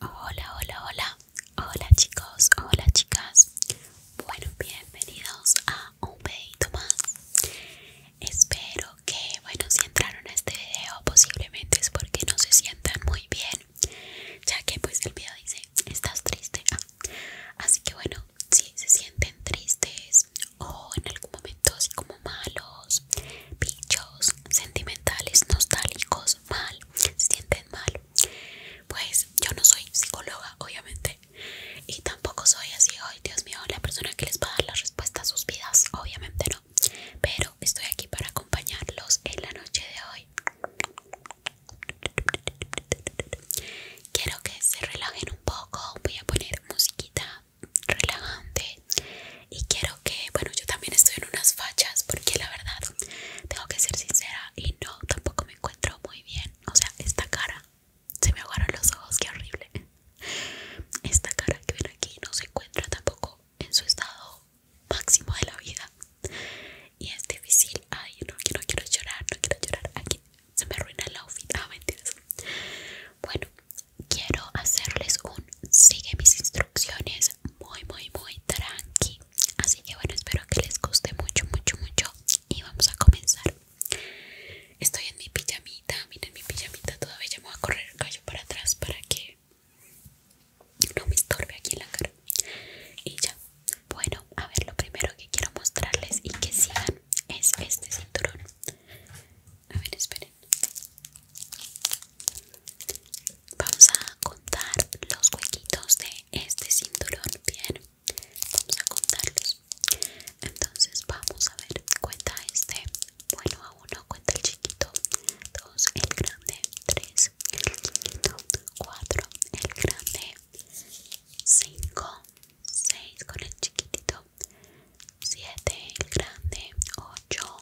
Hola, hola, hola, hola chicos, hola chicas. Bueno, bienvenidos a un pedito más. Espero que, bueno, si entraron a este video posiblemente es porque no se sientan muy bien, ya que pues el video dice, estás triste. Ah. así que bueno, si se sienten tristes o en algún momento así como malos, bichos, sentimentales, nostálgicos mal, se sienten mal. Pues yo no soy psicóloga, obviamente, y tampoco soy así, hoy, Dios mío, la persona que les va a dar la respuesta a sus vidas, obviamente no. Pero estoy aquí para acompañarlos en la noche de hoy. Quiero que se relajen un poco, voy a poner musiquita relajante y quiero que, bueno, yo también estoy en unas fachas porque la verdad, tengo que ser sincera y no, tampoco me encuentro muy bien, o sea, esta cara, se me aguaron los ojos, qué horrible. Esta cara que ven aquí no se encuentra tampoco en su estado máximo de la vida y es difícil, ay, no, no quiero llorar, no quiero llorar, aquí se me arruina el outfit, ah, mentiras. Bueno, quiero hacerles un sigue mis instrucciones muy muy muy tranqui así que bueno espero que les guste mucho mucho mucho y vamos a comenzar estoy en mi pijamita miren mi pijamita todavía me voy a correr el para atrás para que no me estorbe aquí en la cara y ya bueno a ver lo primero que quiero mostrarles y que sigan es este cinturón a ver esperen vamos a contar los huequitos de este cinturón bien vamos a contarlos entonces vamos a ver cuenta este bueno a uno cuenta el chiquito dos el grande tres el chiquito cuatro el grande cinco seis con el chiquitito siete el grande ocho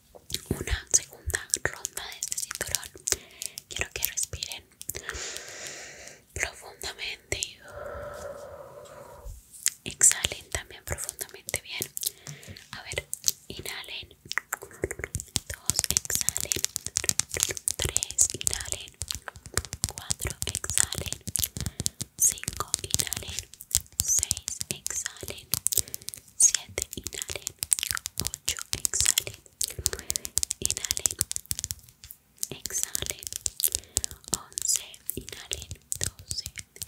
una segunda ronda de este cinturón. Quiero que respiren profundamente. Exhalen también profundamente bien. A ver, inhalen. Dos, exhalen. Tres, inhalen. Cuatro, exhalen. Cinco, inhalen. Seis, exhalen. 7, inhale 8, exhale 9, inhale exhale 11, inhale 12,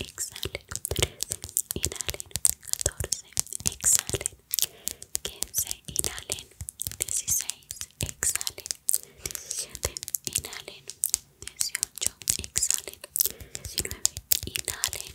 exhale 13, inhale 14, exhale 15, inhale 16, exhale 17, inhale 18, exhale 19, inhale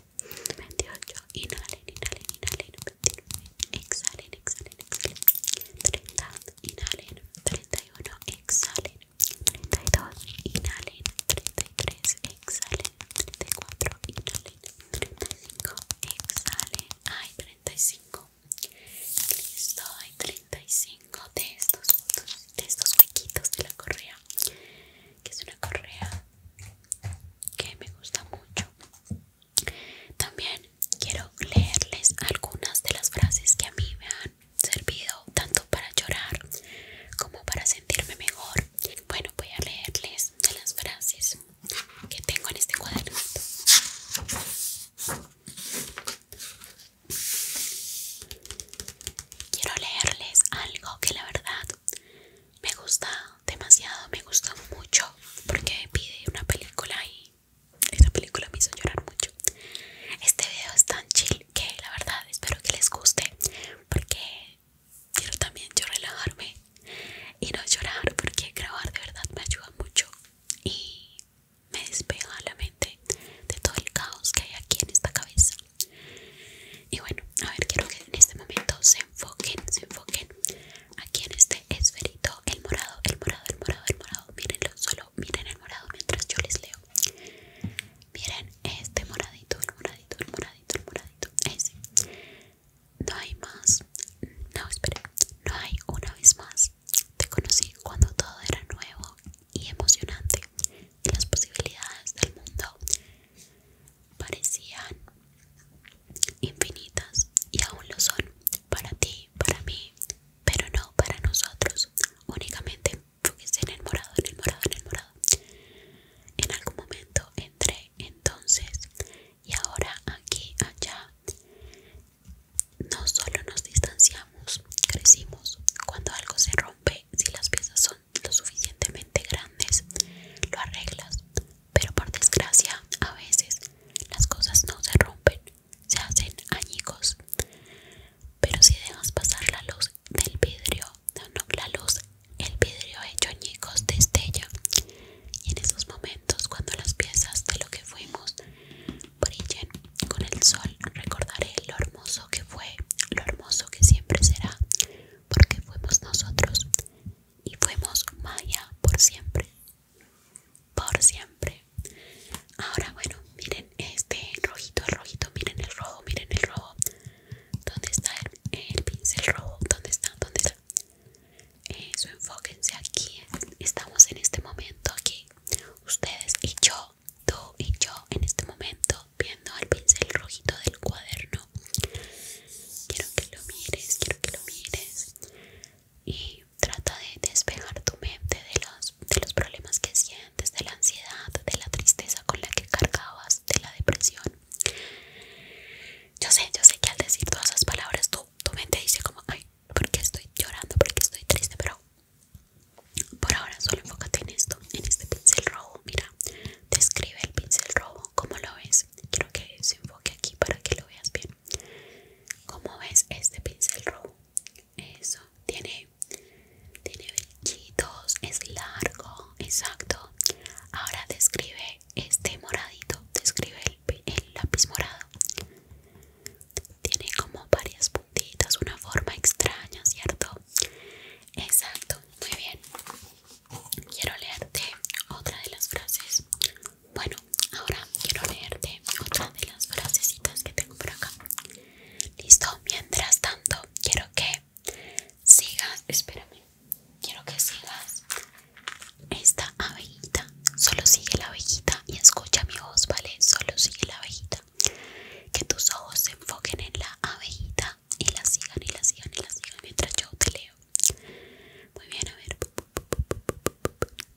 28, inhalen, inhalen, inhalen, 29, exhalen, exhalen, exhalen, 30, inhalen, 31, exhalen, 32, inhalen, 33, exhalen, 34, inhalen, 35, exhalen, hay 35, listo, hay 35 de estos, de estos huequitos de la correa que es una correa que me gusta mucho. También quiero leerles algunas de las frases que a mí me han servido tanto para llorar como para sentirme mejor. Bueno, voy a leerles de las frases que tengo en este cuadernito. Quiero leerles algo que la verdad me gusta demasiado, me gusta mucho porque pide una película y esa película me hizo llorar mucho. Este video es tan chill que la verdad espero que les guste porque quiero también yo relajarme y no llorar porque grabar de verdad me ayuda mucho y me despeja la mente de todo el caos que hay aquí en esta cabeza y bueno, a ver, quiero que en este momento se enfoquen, se enfoquen aquí en este esferito, el morado, el morado, el morado, el morado. Mírenlo, solo miren el morado mientras yo les leo. Miren este moradito, el moradito, el moradito, el moradito. Ese. No hay más. No, esperen. No hay una vez más. Te conocí cuando todo era nuevo y emocionante. Y las posibilidades del mundo parecían infinitas y aún lo son para ti, para mí, pero no para nosotros. Únicamente porque en el morado, en el morado, en el morado. En algún momento entré entonces y ahora aquí, allá. No solo nos distanciamos, crecimos. Cuando algo se rompe, si las piezas son lo suficientemente grandes, lo arreglas pero por desgracia a veces las cosas no se rompen, se hacen añicos. Pero si dejas pasar la luz del vidrio, no, la luz, el vidrio hecho añicos destella. Y en esos momentos, cuando las piezas de lo que fuimos brillen con el sol, recordaré lo hermoso que fue, lo hermoso que siempre será, porque fuimos nosotros y fuimos maya por siempre. Por siempre. Ahora, bueno, miren este rojito, el rojito, miren el rojo, miren el rojo. ¿Dónde está el, pincel rojo? ¿Dónde está? ¿Dónde está? Eso, enfóquense aquí. Estamos en este momento aquí. Ustedes y yo, tú y yo, en este momento, viendo el pincel rojito del cuaderno quiero que lo mires, quiero que lo mires y trata de despejar tu mente de los, de los problemas que sientes, de la ansiedad, de la tristeza con la que cargabas, de la depresión. Yo sé, yo sé que al decir todas esas palabras tu, mente dice como, ay, ¿por qué estoy llorando? ¿Por qué estoy triste? Pero por ahora solo enfócate en esto, en este pincel rojo. Mira, describe el pincel rojo, ¿cómo lo ves? Quiero que se enfoque aquí para que lo veas bien. Como ves este pincel rojo? Eso, tiene, tiene es largo, exacto. Ahora describe este moradito, describe el, el lápiz morado. Tiene como varias puntitas, una forma extraña, ¿cierto? Exacto, muy bien. Quiero leerte otra de las frases. Bueno, ahora quiero leerte otra de las frasecitas que tengo por acá. Listo, mientras tanto, quiero que sigas, espérame, quiero que sigas esta abejita. Solo sigue la abejita y escucha mi voz, ¿vale? Solo sigue la abejita. Que tus ojos se enfoquen en la abejita y la sigan y la sigan y la sigan mientras yo te leo. Muy bien, a ver.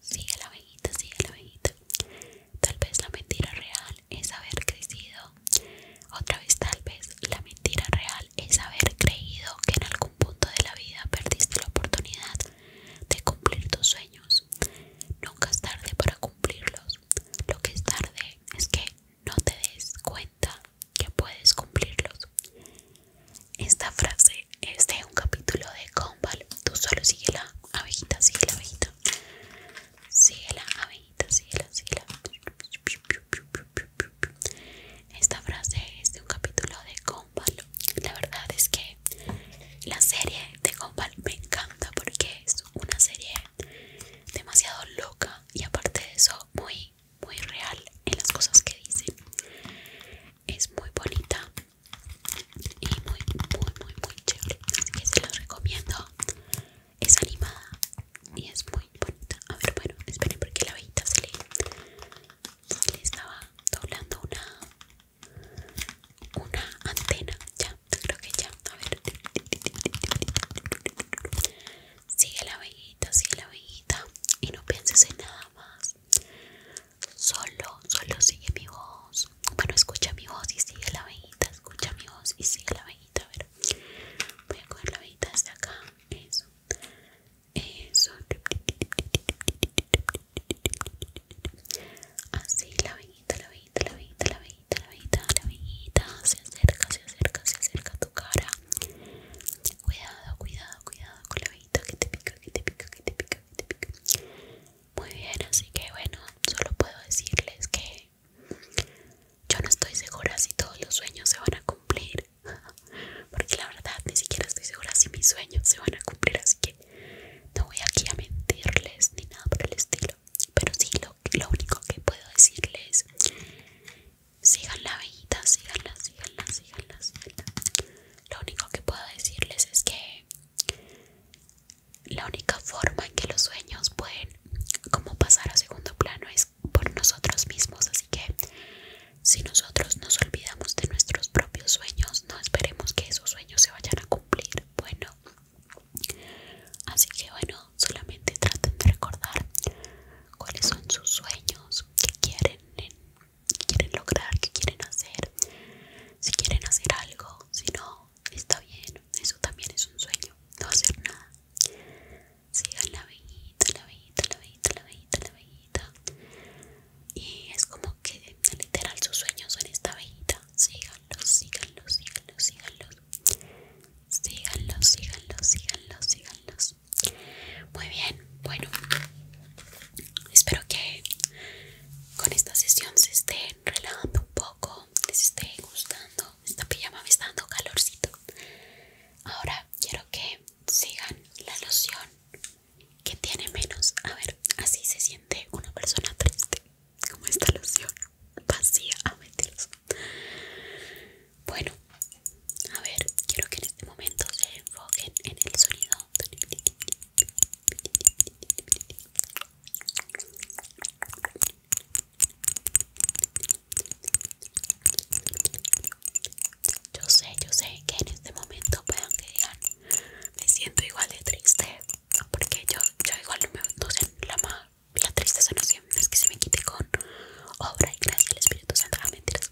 Sigue la sigue la Tal vez la mentira real es haber crecido. Otra vez, tal vez la mentira real es haber creído que en algún punto de la vida perdiste la oportunidad de cumplir tus sueños. Nunca es tarde para cumplirlos. Lo que es tarde es que no te des cuenta que puedes cumplirlos. Esta frase es de un capítulo de Gumball. Tú solo sigue la abejita, sigue la abejita. Sigue la abejita, sigue la, Esta frase es de un capítulo de Gumball. La verdad es que la serie de Gumball me encanta porque es una serie demasiado loca y aparte de eso muy muy real en las cosas que dice. Es muy bonita y muy, muy, muy, muy chévere. Así que se los recomiendo. Es animada y es muy bonita. A ver, bueno, esperen porque la abejita se le estaba doblando una una antena ya creo que ya a ver Sigue la abejita, sigue la abejita y no pienses en nada más. Solo, solo sigue mi voz. Bueno, escucha mi voz y sigue la abejita, escucha mi voz y sigue la abejita. A ver, voy a coger la abejita desde acá. Eso, eso. Así, la abejita, la abejita, la abejita, la abejita, la abejita, la abejita. Se acerca, se acerca, se acerca a tu cara. Cuidado, cuidado, cuidado con la que te pica, que te pica, que te pica, Muy bien, así que bueno, solo puedo decirles que yo no estoy segura si todos los sueños se van a cumplir. Porque la verdad ni siquiera estoy segura si mis sueños se van a cumplir, así que no voy aquí a mentirles ni nada por el estilo. Pero sí, lo, lo único que puedo decirles sigan la síganla, síganla, síganla, Lo único que puedo decirles es que la única forma en que los sueños pueden como pasar a segundo plano es por nosotros mismos, así que si nosotros nos olvidamos de nuestros propios sueños, no esperemos que esos sueños se vayan a cumplir. Bueno, así que bueno, solamente traten de recordar cuáles son sus sueños, qué quieren, eh, quieren lograr, qué quieren hacer, si quieren hacer algo, si no, está bien, eso también es un sueño, no hacer nada. Sigan la vejita, la vejita, la vejita, la vejita, la vejita. Y es como que literal sus sueños son esta vejita. Síganlos, síganlos, síganlos, síganlos. Síganlos, síganlos, síganlos, síganlos. Muy bien, bueno, espero que con esta sesión se estén relajando un poco, les esté gustando. Esta pijama me está dando calorcito. Ahora quiero que sigan la loción que tiene menos. A ver, así se siente una persona triste. Como esta loción vacía, a mentiras. Bueno, a ver, quiero que en este momento se enfoquen en el sonido. Yo sé, yo sé que en este momento puedan que digan, me siento igual de triste, porque yo, yo igual no, me, no la, la tristeza no, es que se me quite con obra y gracia del Espíritu Santo. Ah, mentiras.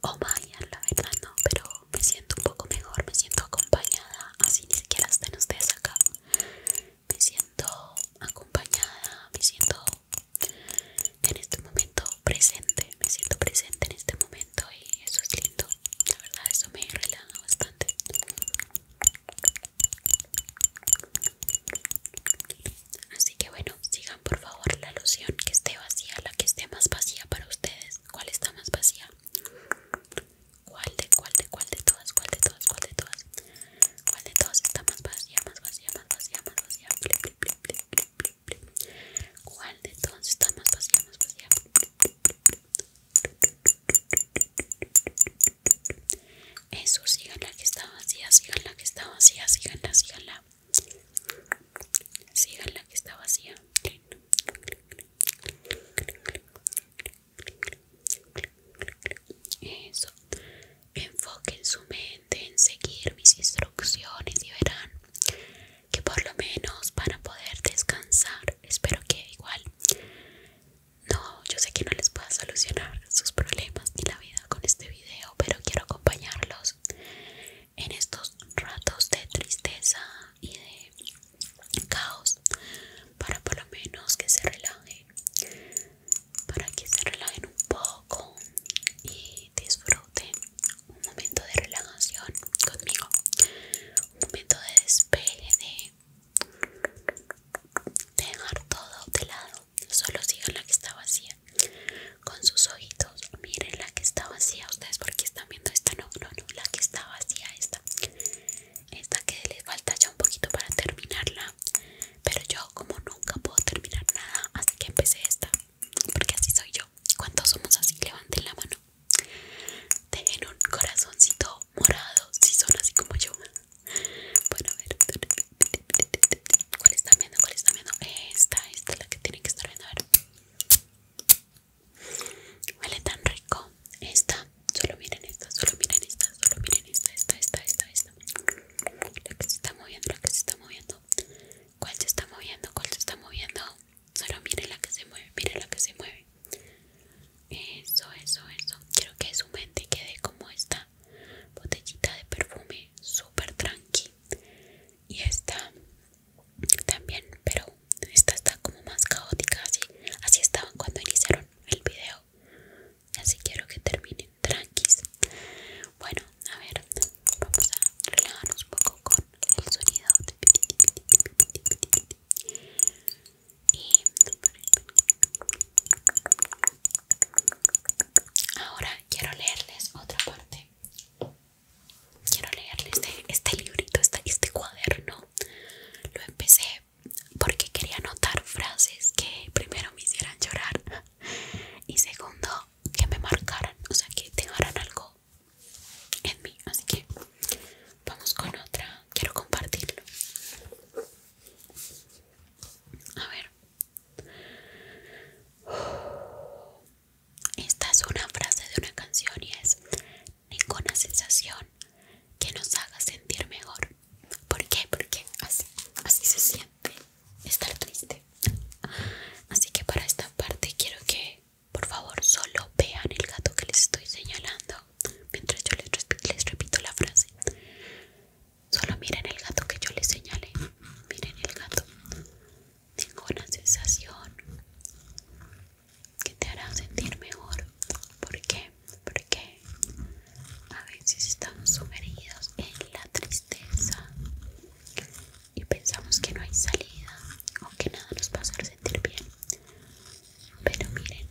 O oh, vaya, la verdad no, pero me siento un poco mejor, me siento acompañada. Así ni siquiera están ustedes acá. Me siento acompañada, me siento en este momento presente, me siento presente en este momento y eso es lindo. La verdad, eso me relaja bastante. Así que bueno, sigan por favor la alusión que esté vacía, la que esté más vacía para ustedes. ¿Cuál está más vacía? ¿Cuál de cuál de cuál de todas? ¿Cuál de todas? ¿Cuál de todas? ¿Cuál de todas está más vacía? Más vacía, más vacía, más vacía. ¿Cuál de todas está más vacía? Más vacía. Eso, sigan la que está vacía, sigan la que está vacía, síganla, síganla la que está vacía. ¿ah? Eso. Enfoquen su mente en seguir mis instrucciones y verán que por lo menos van a poder descansar. Espero que igual. No, yo sé que no les pueda solucionar sus problemas ni la vida con este pero quiero acompañarlos en estos ratos de tristeza y de caos para por lo menos que se relajen, para que se relajen un poco y disfruten un momento de relajación conmigo, un momento de despeje, de dejar todo de lado solo sigan la que está vacía. Con sus ojitos, miren la que está vacía. Ustedes porque están viendo esta, no, no, no, la que está vacía, esta. Esta que les falta ya un poquito para terminarla. Pero yo como nunca puedo terminar nada, así que empecé esta. Porque así soy yo. ¿Cuántos somos así? Levanten la mano. Dejen un corazoncito morado si son así como yo. Bueno, a ver. ¿Cuál está viendo? ¿Cuál está viendo? Esta, esta es la que tiene que estar viendo. A ver. Huele tan rico. Esta, solo miren esta, solo miren esta, solo miren esta, esta, esta, esta, esta. La que se está moviendo, la que se está moviendo. ¿Cuál se está moviendo? ¿Cuál se está moviendo? Solo miren la que se mueve, miren la que se mueve. Eso, eso, eso. Quiero que su mente quede como está botellita de perfume super tranqui y esta también pero esta está como más caótica así así estaban cuando iniciaron el video así quiero que terminen tranquis bueno a ver vamos a relajarnos un poco con el sonido y Ahora quiero leerles otra parte. Quiero leerles de este librito, este, este cuaderno. Lo empecé porque quería anotar frases que primero me hicieran llorar y segundo que me marcaran, o sea que dejaran algo en mí. Así que vamos con otra. Quiero compartirlo. A ver, esta es una frase de una canción y es ninguna sensación que nos haga sentir mejor. ¿Por qué? Porque así, se siente estar triste. Así que para esta parte quiero que por favor solo vean el gato que les estoy señalando mientras yo les repito la frase. Solo miren el gato que yo les señalé. Miren el gato. Tengo una sensación que te hará sentir mejor. ¿Por qué? Porque a veces estamos sumergidos en la tristeza y pensamos que no hay salida o que nada nos va a sentir bien. Pero miren,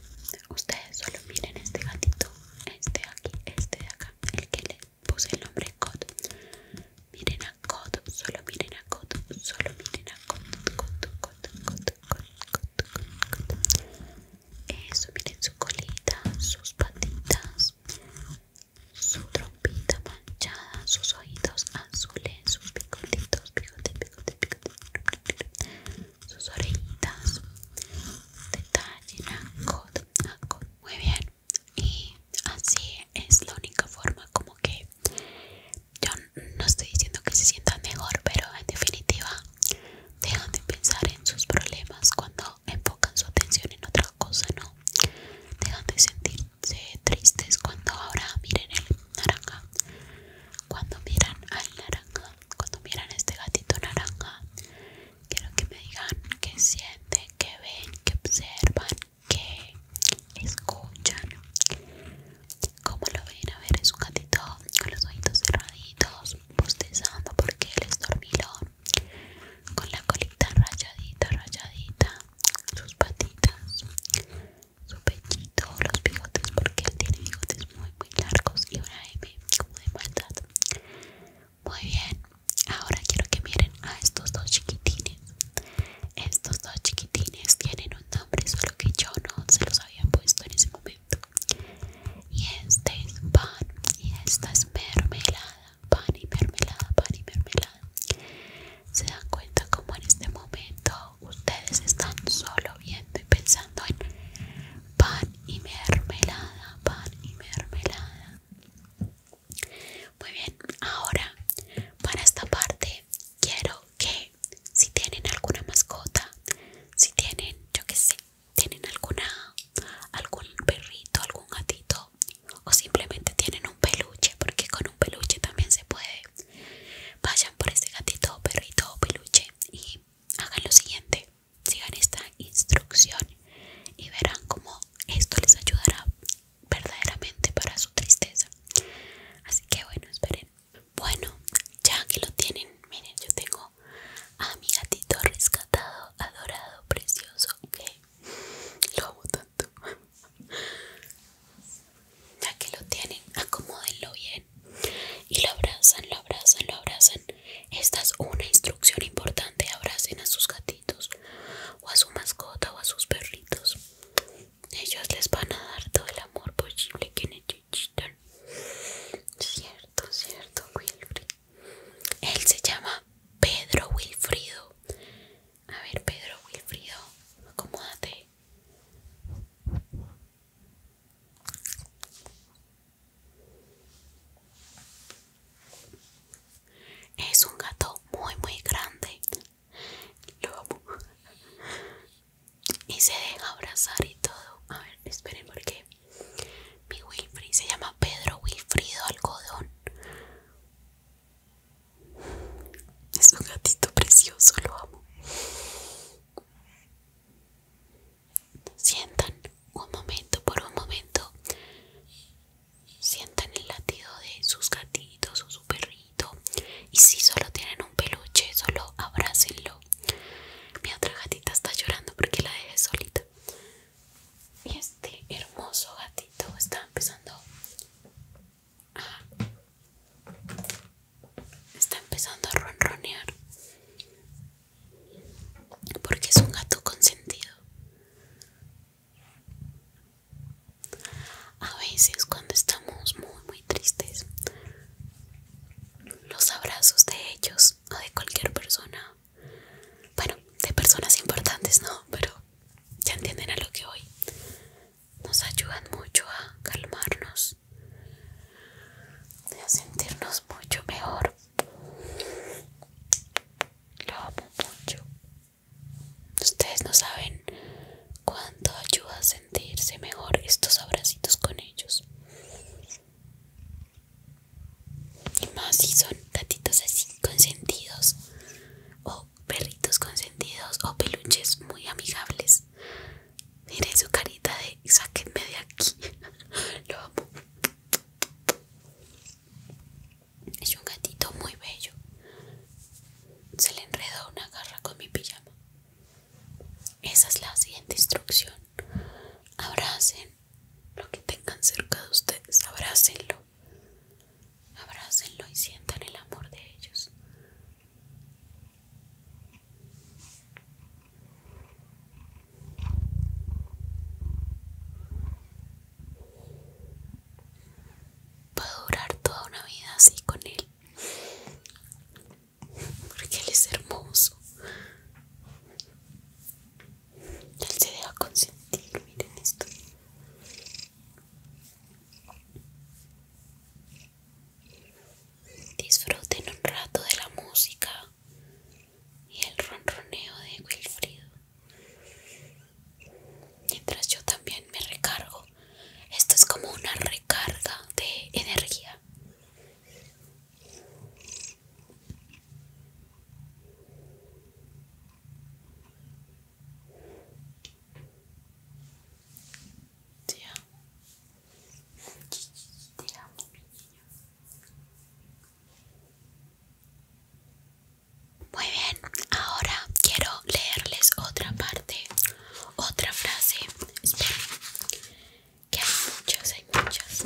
ustedes solo miren este gatito, este de aquí, este de acá, el que le puse el nombre Cod. Miren a Cod, solo miren a Cod, solo miren a Cod, Cod, Cod, Cod, Cod, Cod, Cod. Eso, miren su colita, sus patitas, su trompita manchada, sus ojitos azules, sus picotitos, picote, sus orejitas. Detalle a Cod, a Cod. Muy bien y así es la única forma como que yo no estoy diciendo que se sientan mejor pero en definitiva dejan de pensar en sus problemas cuando enfocan su atención en otra cosa no dejan de sentirse tristes cuando ahora miren el naranja cuando miran al naranja cuando miran este gatito naranja Quiero que me digan que sienten, que ven, que observan, que escuchan. ¿Cómo lo ven? A ver, es un gatito con los ojitos cerraditos, bostezando porque él es dormilón, con la colita rayadita, rayadita, sus patitas, su pechito, los bigotes, porque él tiene bigotes muy, muy largos y una M como de maldad. Muy bien, ahora quiero que miren a estos dos chiquitines. Estos dos chiquitines tienen un nombre, solo que yo no se los había puesto en ese momento. Y este es pan y esta es mermelada. Pan y mermelada, pan y mermelada. Se dan cuenta como en este momento ustedes están solo viendo y pensando en pan y mermelada, pan y mermelada. Muy bien, ahora para esta parte quiero que si tienen alguna mascota, si tienen, yo qué sé, tienen alguna, algún perrito, algún gatito o simplemente tienen un peluche, porque con un peluche también se puede, vayan por ese gatito, perrito o peluche y hagan lo siguiente, sigan esta instrucción y verán cómo esto les ayudará verdaderamente para su tristeza. Así que bueno, esperen. Bueno, ya que lo tienen, miren, yo tengo a mi gatito rescatado, adorado, precioso, ok. Lo amo tanto. Ya que lo tienen, acomódenlo bien y lo abrazan, lo abrazan, lo abrazan. Esta es una instrucción importante, abracen a sus gatitos o a su mascota o a sus perritos. Ellos les van a dar todo el amor posible que necesitan. Cierto, cierto, Wilfrido. Él se llama Pedro Wilfrido. A ver, Pedro Wilfrido, acomódate. Es un gato muy muy grande. Lo amo. Y se deja abrazar y todo. A ver, esperen porque mi Wilfrid se llama Pedro Wilfrido Algodón. Es un gatito precioso, lo amo. Sientan un momento, por un momento sientan el latido de sus gatitos o su perrito y si solo tienen un peluche solo abrácenlo mi otra gatita está llorando porque la dejé solita y este hermoso gatito está empezando está empezando a ronronear porque es un gato consentido a veces cuando estamos muy muy tristes, los abrazos de ellos o de cualquier persona, bueno, de personas importantes no, pero ya entienden a lo que voy, nos ayudan mucho a calmarnos, a sentirnos mucho mejor. Lo amo mucho. Ustedes no saben cuánto ayuda a sentirse mejor estos abracitos con ellos. Y más si son gatitos así consentidos o perritos consentidos o peluches muy amigables. Miren su carita de sáquenme de aquí. Lo amo. Es un gatito muy bello. Se le enredó una garra con mi pijama. Esa es la siguiente instrucción. Abracen lo que tengan cerca de ustedes. Abrácenlo. Abrácenlo y sientan el amor de ellos. Va a durar toda una vida así con él. Porque él es hermoso. Él se deja consentir, miren esto. Disfruten un rato de la música, y el ronroneo de Wilfrido. Mientras yo también me recargo. Esto es como una recarga de energía. Te amo. Te amo, mi muy bien, ahora quiero leerles otra parte, otra frase. Esperen, que hay muchos, hay muchas.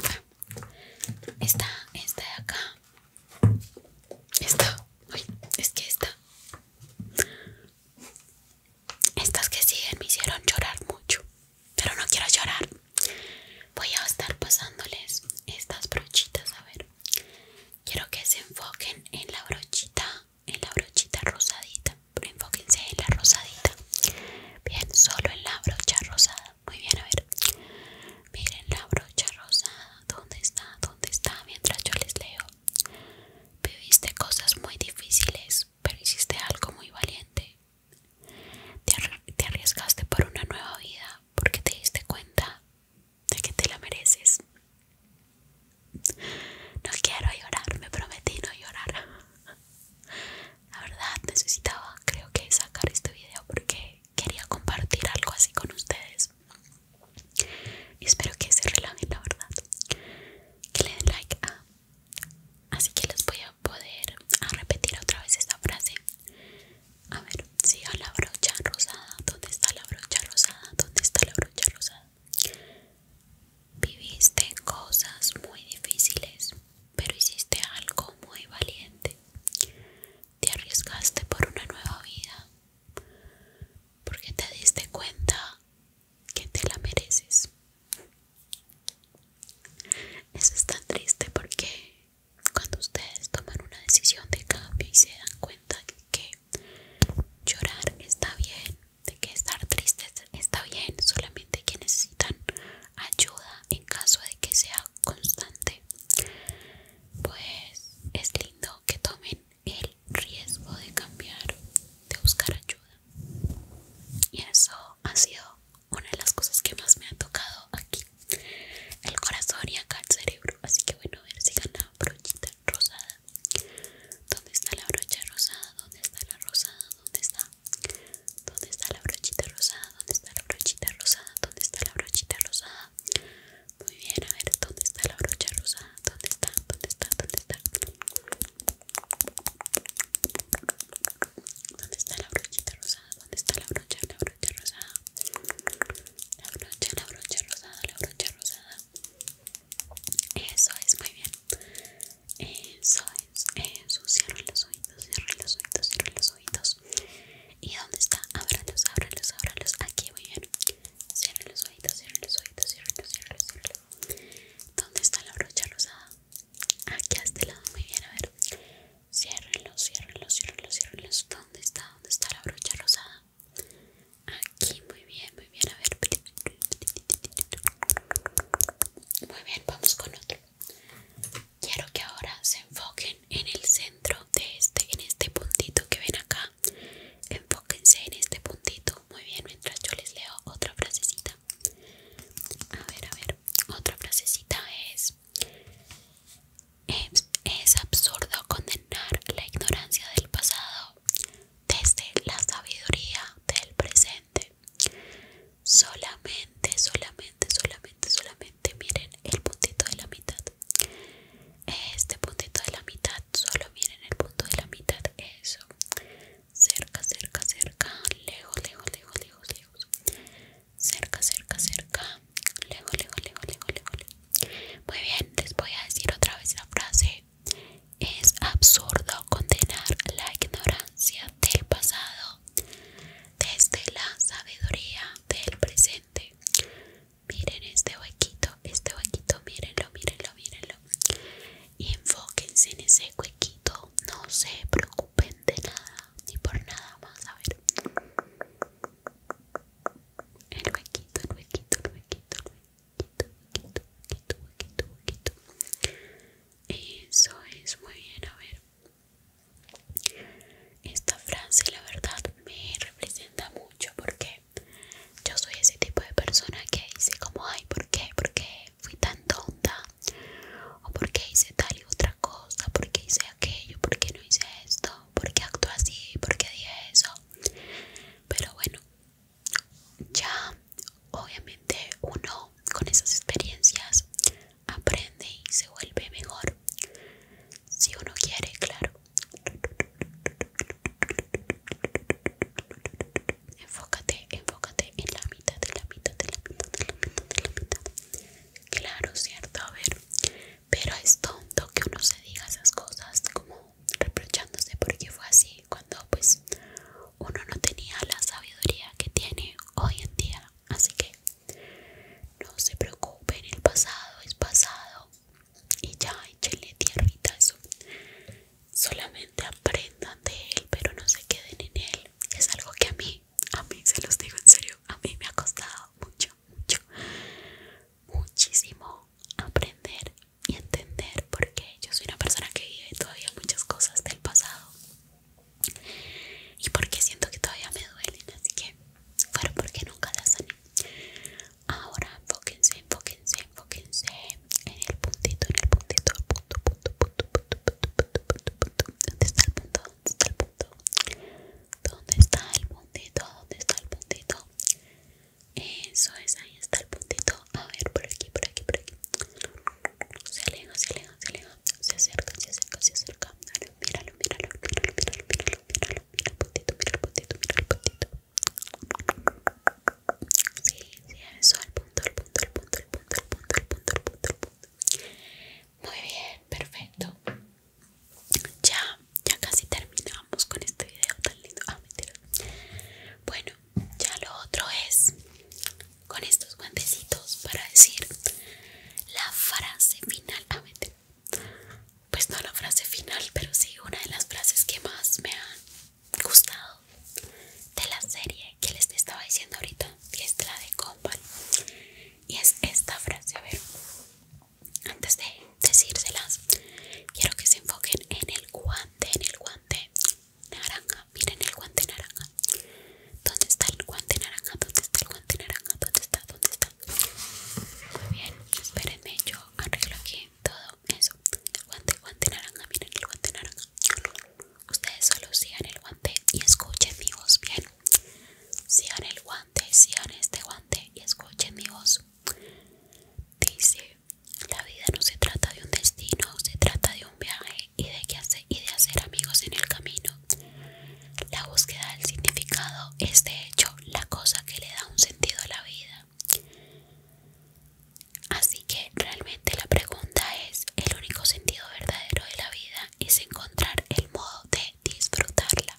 Esta, esta de acá. Esta, uy, es que esta. Estas que siguen me hicieron llorar mucho, pero no quiero llorar. Voy a estar pasándoles estas brochitas a ver quiero que se enfoquen en la brochita, en la brochita rosadita. Pero enfóquense en la rosadita. Bien, solo en la brocha rosada. Muy bien, a ver. Miren la brocha rosada. ¿Dónde está? ¿Dónde está? Mientras yo les leo. Viviste cosas muy difíciles, pero hiciste algo muy valiente. Te arriesgaste por una nueva vida porque te diste cuenta de que te la mereces. No quiero llorar, me prometí no llorar. La verdad necesitaba, creo que, sacar este video porque quería compartir algo así con ustedes. Y espero que se relajen, la verdad. Que le den like a... Ah, así que les voy a poder repetir otra vez esta frase. A ver, siga la brocha rosada. ¿Dónde está la brocha rosada? ¿Dónde está la brocha rosada? Viviste cosas muy difíciles, pero hiciste algo muy valiente. Te arriesgaste por una nueva vida, porque te diste cuenta que te la mereces. Eso es tan triste porque cuando ustedes toman una decisión de cambio y se dan cuenta que llorar está bien, de que estar triste está bien, solamente que necesitan ayuda en caso de que sea constante, pues es lindo que tomen el riesgo de cambiar, de buscar ayuda. Y eso ha sido una de las cosas que más me ha tocado aquí el corazón y acá el cerebro. Así que bueno, a ver si gana brochita rosada. ¿Dónde está la brocha rosada? ¿Dónde está la rosada? ¿Dónde está? ¿Dónde está la brochita rosada? ¿Dónde está la brochita rosada? ¿Dónde está la brochita rosada? Muy bien, a ver, ¿dónde está la brocha rosada? ¿Dónde está? ¿Dónde está? ¿Dónde está? ¿Dónde está la brochita rosada? ¿Dónde está la brocha? brocha rosada la brocha la brocha rosada la brocha rosada eso es muy bien eso es eso cierra los oídos cierren los oídos cierren los oídos y dónde está ábralos ábralos los aquí muy bien Cierren los oídos cierren los oídos cierren los cierra los dónde está la brocha rosada aquí a este lado muy bien a ver Ciérrenlos, los los ¿Dónde está? ¿Dónde está la brocha rosada? Aquí, muy bien, muy bien. A ver. Muy bien, vamos con otro. Quiero que ahora se enfoquen en el centro de este, en este puntito que ven acá. Enfóquense en este puntito. Muy bien, mientras yo les leo otra frasecita. A ver, a ver. Otra frasecita es es, absurdo condenar la ignorancia del pasado desde la sabiduría del presente. Solamente, solamente, solamente, solamente miren el puntito de la mitad. Este puntito de la mitad, solo miren el punto de la mitad. Eso. Cerca, cerca, cerca. Lejos, lejos, lejos, lejos, lejos cerca, cerca, cerca, lejos, lejos, lejos, lejos, Muy bien, les voy a decir otra vez la frase. Es absurdo condenar la ignorancia del pasado desde la sabiduría del presente. Miren este huequito, este huequito, mírenlo, mírenlo, mírenlo. Y enfóquense en ese huequito, no se preocupen de nada ni por nada más. A ver el huequito, el huequito, el huequito, el huequito, huequito, huequito, huequito, huequito. Eso es muy bien, a ver. Esta frase la verdad me representa mucho porque yo soy ese tipo de persona que dice como ay, ¿por qué? ¿Por qué fui tan tonta? ¿O por qué hice tal y otra cosa? ¿Por qué hice aquello? ¿Por qué no hice esto? por qué actúa así, por qué dije eso. Pero bueno, ya obviamente uno con esas experiencias aprende y se vuelve mejor. Si uno quiere, claro. Enfócate, enfócate en la mitad, de la mitad, de la mitad, en la mitad, en la mitad. Claro, cierto. A ver, pero es tonto que uno se diga esas cosas como reprochándose porque fue así cuando pues uno no tenía la sabiduría que tiene hoy en día. Así que no se preocupen, el pasado es pasado y ya tierra tierrita eso. Solamente aprendan de él, pero no se queden en él. Es algo que a mí, a mí se los digo en serio, a mí me ha costado mucho mucho, muchísimo aprender y entender porque yo soy una persona que vive todavía muchas cosas del pasado y porque siento que todavía me duelen, así que fueron porque nunca las sané. Ahora enfóquense, enfóquense, enfóquense en el puntito, en el puntito, punto, punto, punto, punto, punto, punto, punto, punto, punto, punto, ¿Dónde está el puntito? ¿Dónde está el puntito? Eso es, ahí está el puntito. A ver, por aquí, por aquí, por aquí. Se aleja, se aleja, se aleja. Se acerca, se acerca, se acerca. míralo, míralo, míralo, Mira el puntito, mira mira Sí, sí, eso, el punto, el punto, el punto, el punto, el punto, el punto, el punto. Muy bien, perfecto ya, ya casi terminamos con este video tan lindo. Ah, a Bueno, ya lo otro es con estos guantecitos para decir la frase final. Ah, pues no la frase final, pero sí una de las frases que más me han gustado de la serie que les estaba diciendo ahorita, que es la de company Y es esta frase, a ver antes de decírselas, quiero que se enfoquen en el guante, en el guante naranja. Miren el guante naranja. ¿Dónde está el guante naranja? ¿Dónde está el guante naranja? ¿Dónde está? ¿Dónde está? Muy bien, espérenme, yo arreglo aquí todo eso. El guante, guante naranja, miren el guante naranja. Ustedes solo sigan el guante y escuchen mi voz bien. Sigan el guante, sigan este guante y escuchen mi voz. Dice, la vida no se trata de un destino, se trata de un viaje y de, y de hacer amigos en el camino. La búsqueda del significado es de hecho la cosa que le da un sentido a la vida. Así que realmente la pregunta es, el único sentido verdadero de la vida es encontrar el modo de disfrutarla.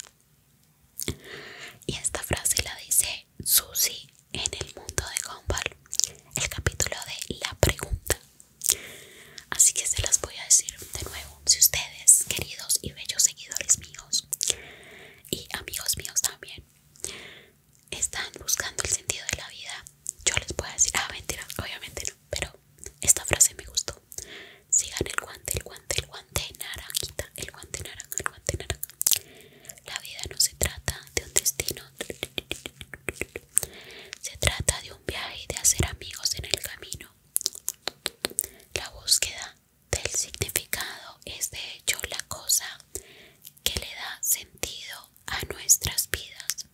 Y esta frase la dice Susie en el mundo de Gumball, el capítulo de La pregunta. Así que se las voy a decir de nuevo. Si ustedes, queridos y bellos seguidores míos, y amigos míos también, están buscando el sentido de la vida, yo les puedo decir, ah, mentira, obviamente no, pero esta frase me gustó. Sigan el guante, el guante, el guante naranjita, el guante naranja, el guante naranja. La vida no se trata de un destino. Se trata de un viaje y de hacer amigos en el camino. La búsqueda del significado es de hecho la cosa que le da sentido a nuestras vidas.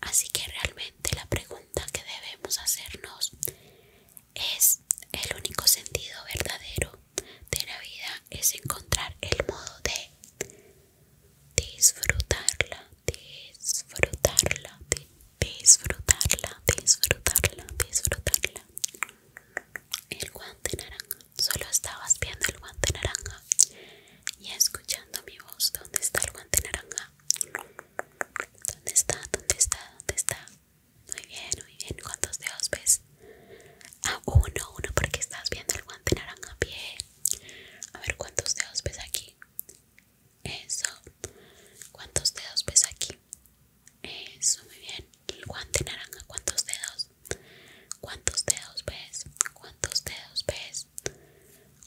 Así que realmente la pregunta que debemos hacernos es el único sentido verdadero de la vida es encontrar el modo de disfrutarla, disfrutarla, disfrutarla, disfrutarla, disfrutarla. El guante naranja, solo estabas viendo el guante naranja y escuchando mi voz. ¿Dónde está el guante naranja? ¿Dónde está? ¿Dónde está? ¿Dónde está? Muy bien, muy bien. ¿Cuántos dedos ves? Ah, uno, uno, porque estás viendo el guante naranja. pie. A ver, ¿cuántos dedos ves aquí? Eso. ¿Cuántos dedos ves aquí? Eso, muy bien. El guante naranja, ¿cuántos dedos? ¿Cuántos dedos ves? ¿Cuántos dedos ves?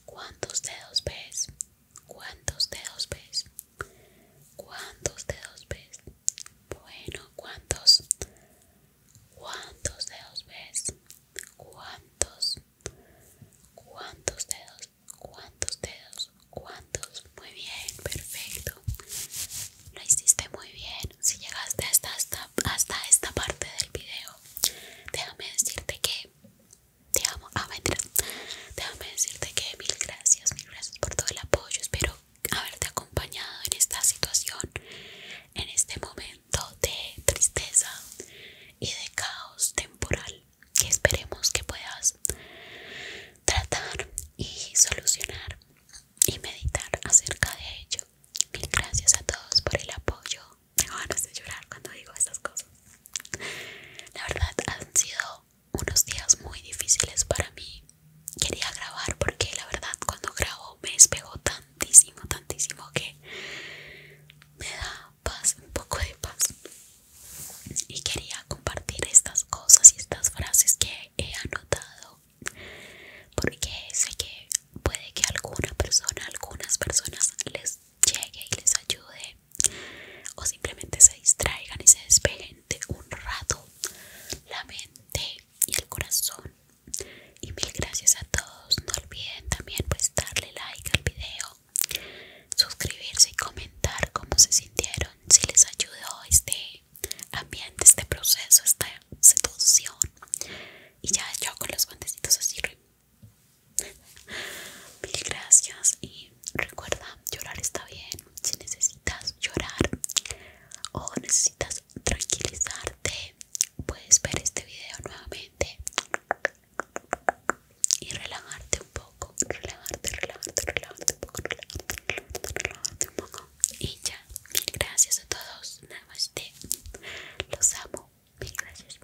¿Cuántos dedos ves? ¿Cuántos dedos ves? ¿Cuántos dedos ves? Bueno, ¿cuántos? ¿Cuántos dedos ves? ¿Cuántos? ¿Cuántos dedos? ¿Cuántos dedos? ¿Cuántos? Muy bien, perfecto. Lo hiciste muy bien. Si llegaste hasta, hasta esta parte del video, déjame decirte que te amo, ah, Déjame decirte que mil gracias, mil gracias por todo el apoyo. Espero haberte acompañado en esta situación, en este momento de tristeza y de caos temporal que esperemos que puedas tratar y solucionar y meditar acerca de ello. Mil gracias a todos por el apoyo. Tengo ganas de llorar cuando digo estas cosas. La verdad han sido unos días muy difíciles para mí. Quería grabar porque la verdad cuando grabo me pegó tantísimo, tantísimo que me da paz, un poco de paz. Y quería compartir estas cosas y estas frases que he anotado porque sé que puede que alguna persona, algunas personas les llegue y les ayude o simplemente se distraigan y se despejen de un rato la mente y el corazón y mil gracias a todos no olviden también pues darle like al video suscribirse y comentar cómo se sintieron si les ayudó este ambiente este proceso esta seducción y ya yo con los guantecitos así mil gracias Recuerda, llorar está bien. Si necesitas llorar o necesitas tranquilizarte, puedes ver este video nuevamente y relajarte un poco. Relajarte, relajarte, relajarte un poco. Relajarte, relajarte un poco. Y ya, mil gracias a todos. Namaste. Los amo. Mil gracias.